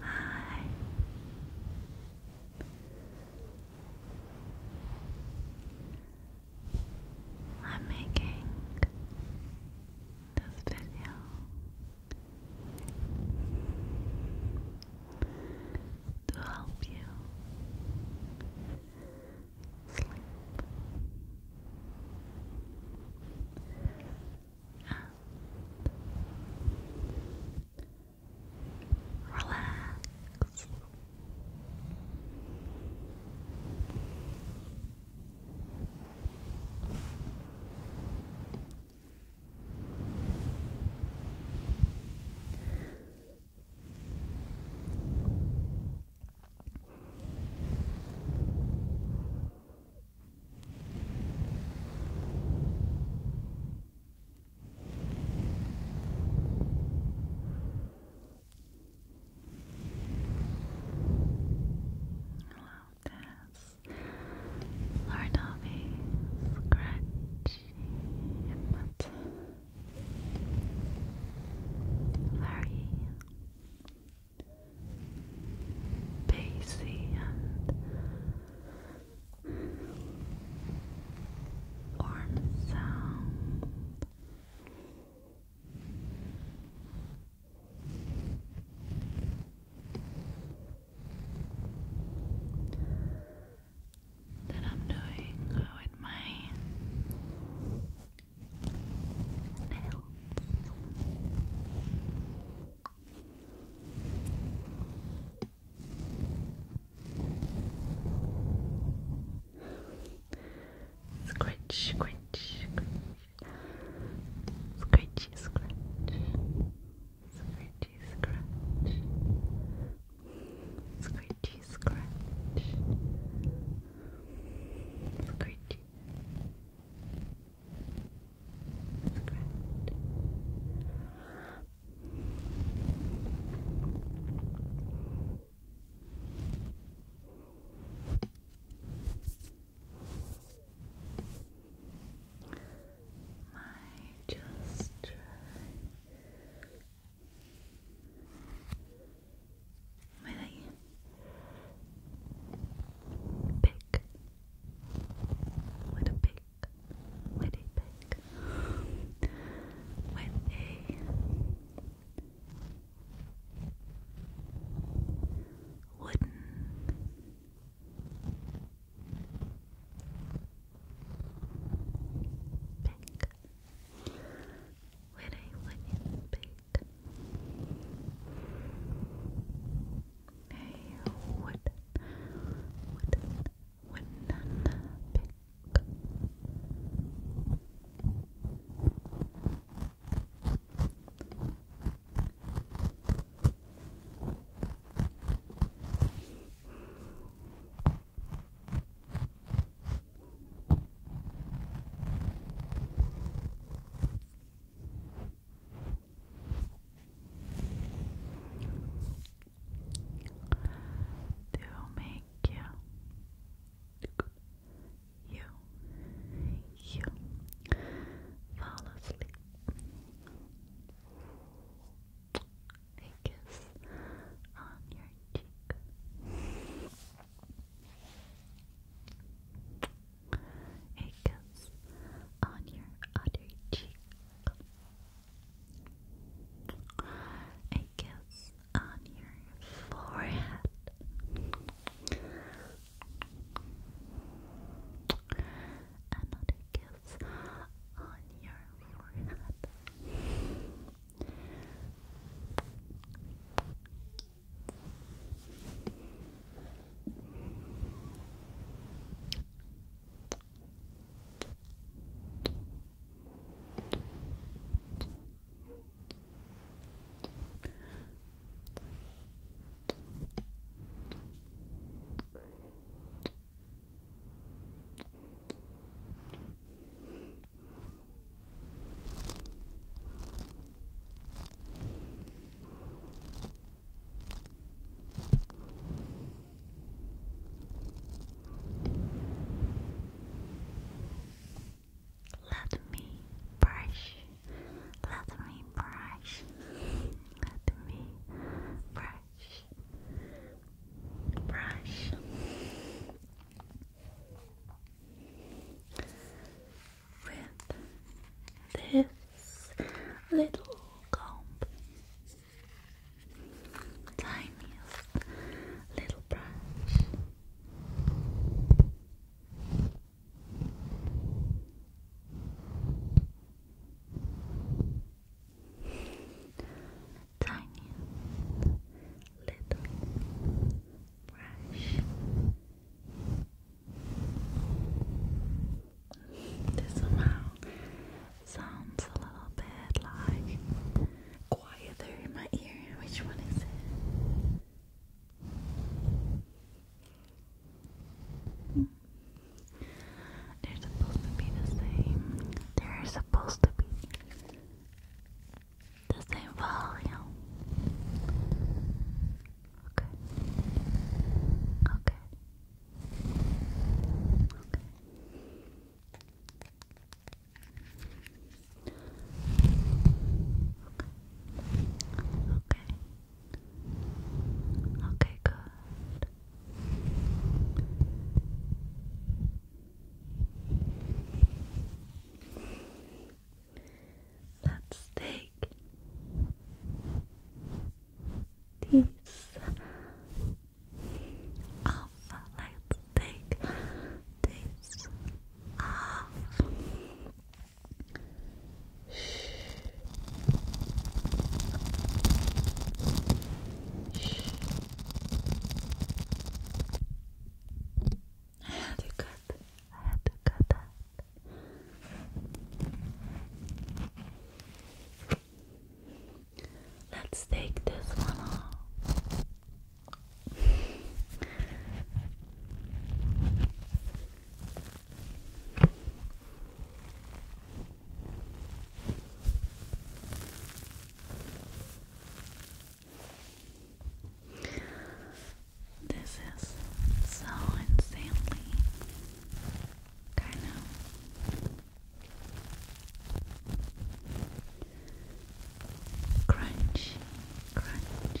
Hi. I'm making this video to help you sleep relax. Hello, Tess. Lord Ovi, scratch um, but very and warm sound that I'm doing with my nails. scratch, scratch, scratch, scratch. Scratchy scratch. Scratchy scratch. Scratchy. Scratch. Scratch might just try really pick with a pick with a pick with a wooden Pink. When I went in pink. Hey, what? What? What? Pink. Pink. To make you, you, you fall asleep a kiss on your cheek. A kiss on your other cheek. A kiss on your forehead. Another kiss on your forehead. Let me brush, let me brush, let me brush, brush. With this little comb, tiniest little brush, tiny little brush. This somehow sounds a little bit like quieter in my ear. Which one is it? Hmm. They're supposed to be the same. They're supposed to be the same volume. Okay. Okay. Okay. Okay. Okay. Okay, good. Let's take this off. Let's take this off. Shh. I had to cut. I had to cut that. Let's take this one off. This is so insanely kind of crunchy, crunchy.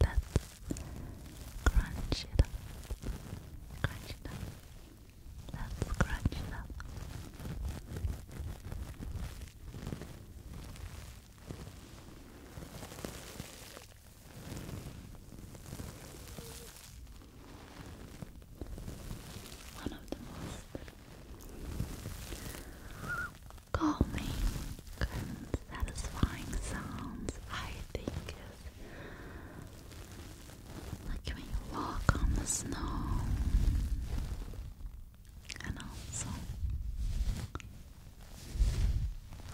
let's crunch it up, crunch it up, let's crunch up. One of the most calming and satisfying sounds I think like when you walk on the snow, and also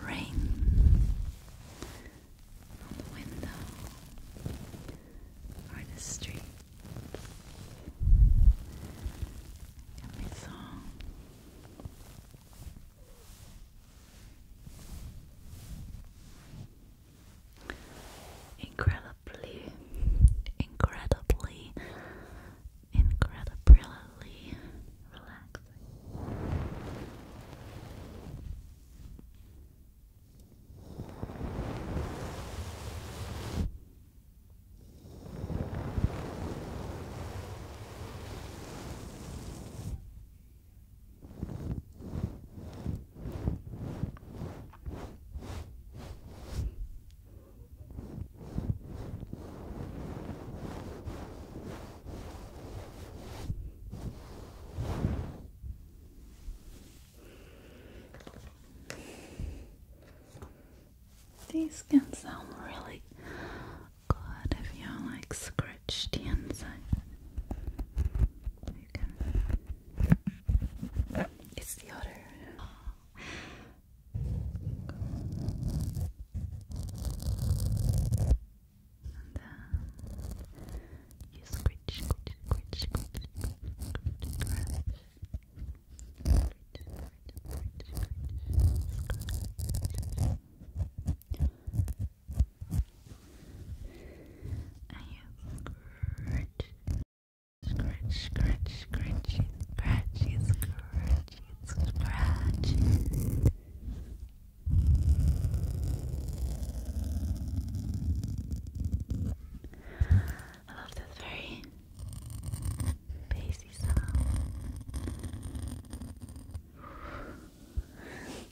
rain on the window or the street. It can be Incredibly, incredibly, incredibly relaxing. These can sound really good if you like scratched the inside. You can. It's the other. And then you scratch, scratch, scratch, scratch, scratch, scratch. Scratch, scratch, scratch, scratch, scratch. I am scratch, scratch, scratch, scratch, scratchy, scratchy, scratchy. I love this very bassy sound.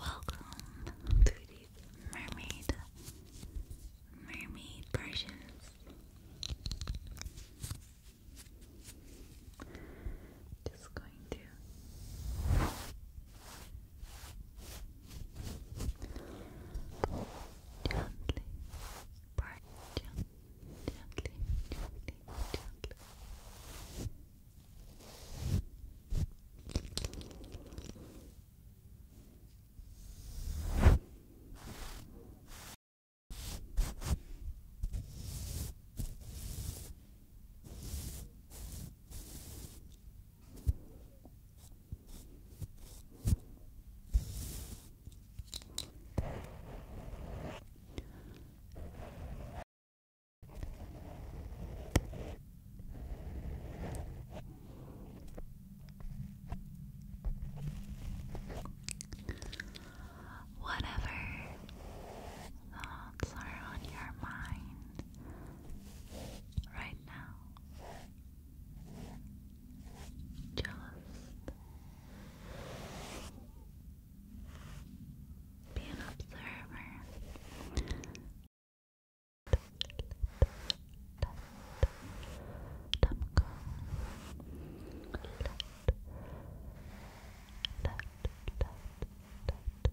Welcome to the mermaid mermaid versions just going to gently part gently, gently, gently, gently. Whatever. Oh, thoughts are on your mind right now. Just be an observer.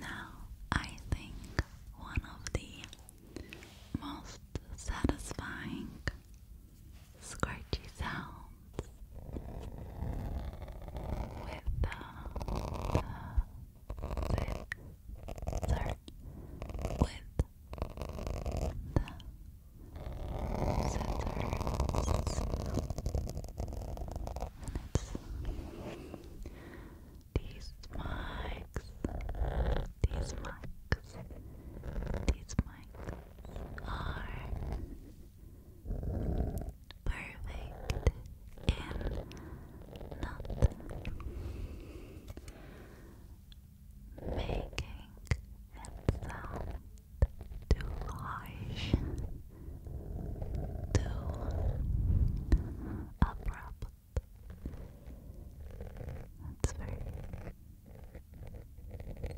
Now, I think one of the most satisfying scratchy sounds with the, uh, with start the scissors these mics these mics these mics are perfect in not making it sound too harsh, too abrupt. That's very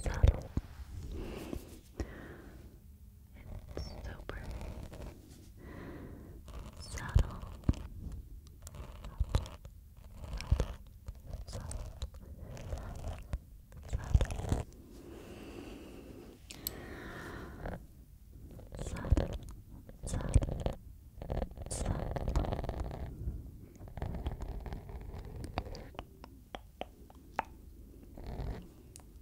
subtle. It's super subtle, subtle, subtle, subtle, subtle, subtle, subtle. Subtle,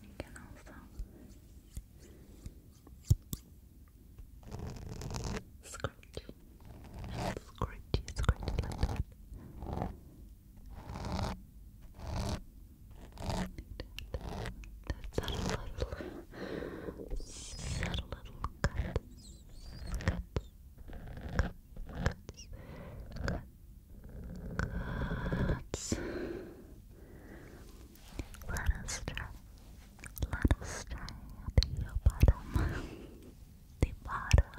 You can also scratch and scratch, scratch like that. That's a little, that's a little cut, cut, cut, cut, cut. Cuts. Let us try. Let us try the bottom. the bottom.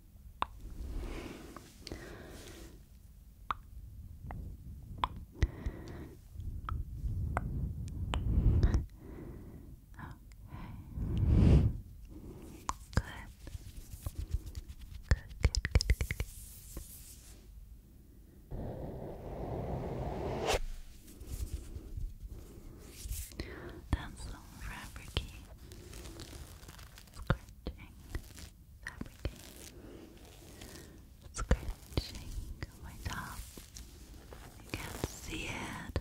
good. That's fabricy, scratching, fabricy, scratching my top. You can't see it.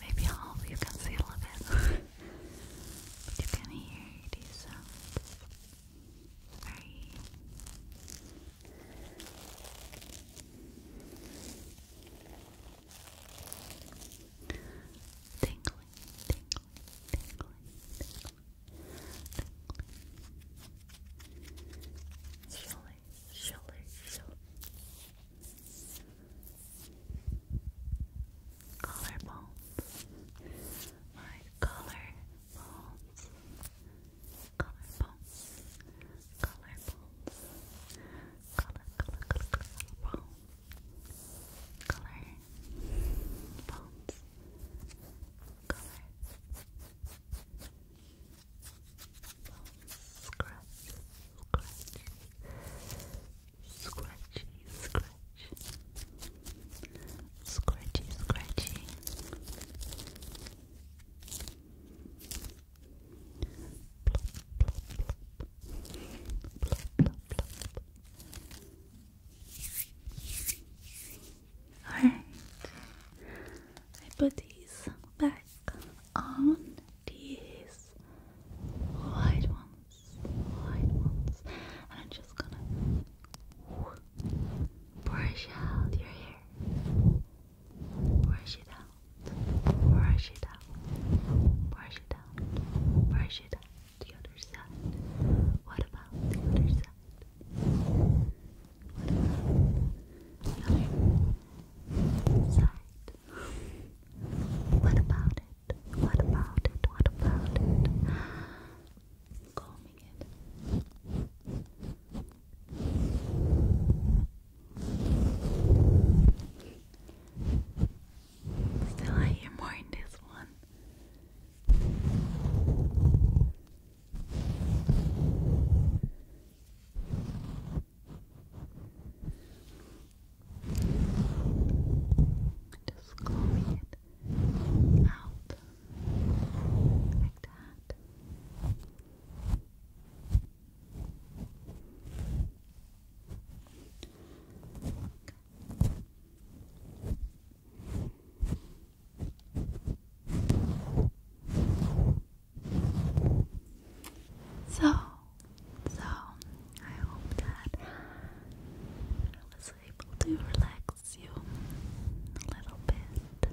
Maybe all you can see a little bit, but you can hear these sounds very Tingling, tingling, tingling, tingling. Surely, surely, surely. Collar bones. My collar bones collarbones, collarbones, collar, collar, collar, collar, collar, bones, collar, scratch, scratch, scratch, scratchy, scratchy Alright, I put these back on these white ones, and I'm just gonna brush out your hair brush it out, brush it out, brush it out, brush it out. The other side. What about the other side? What about the other side? What about it? What about it? What about it? Combing it. Still, I hear more in this one. Just combing it out like that. So, so I hope that I was able to relax you a little bit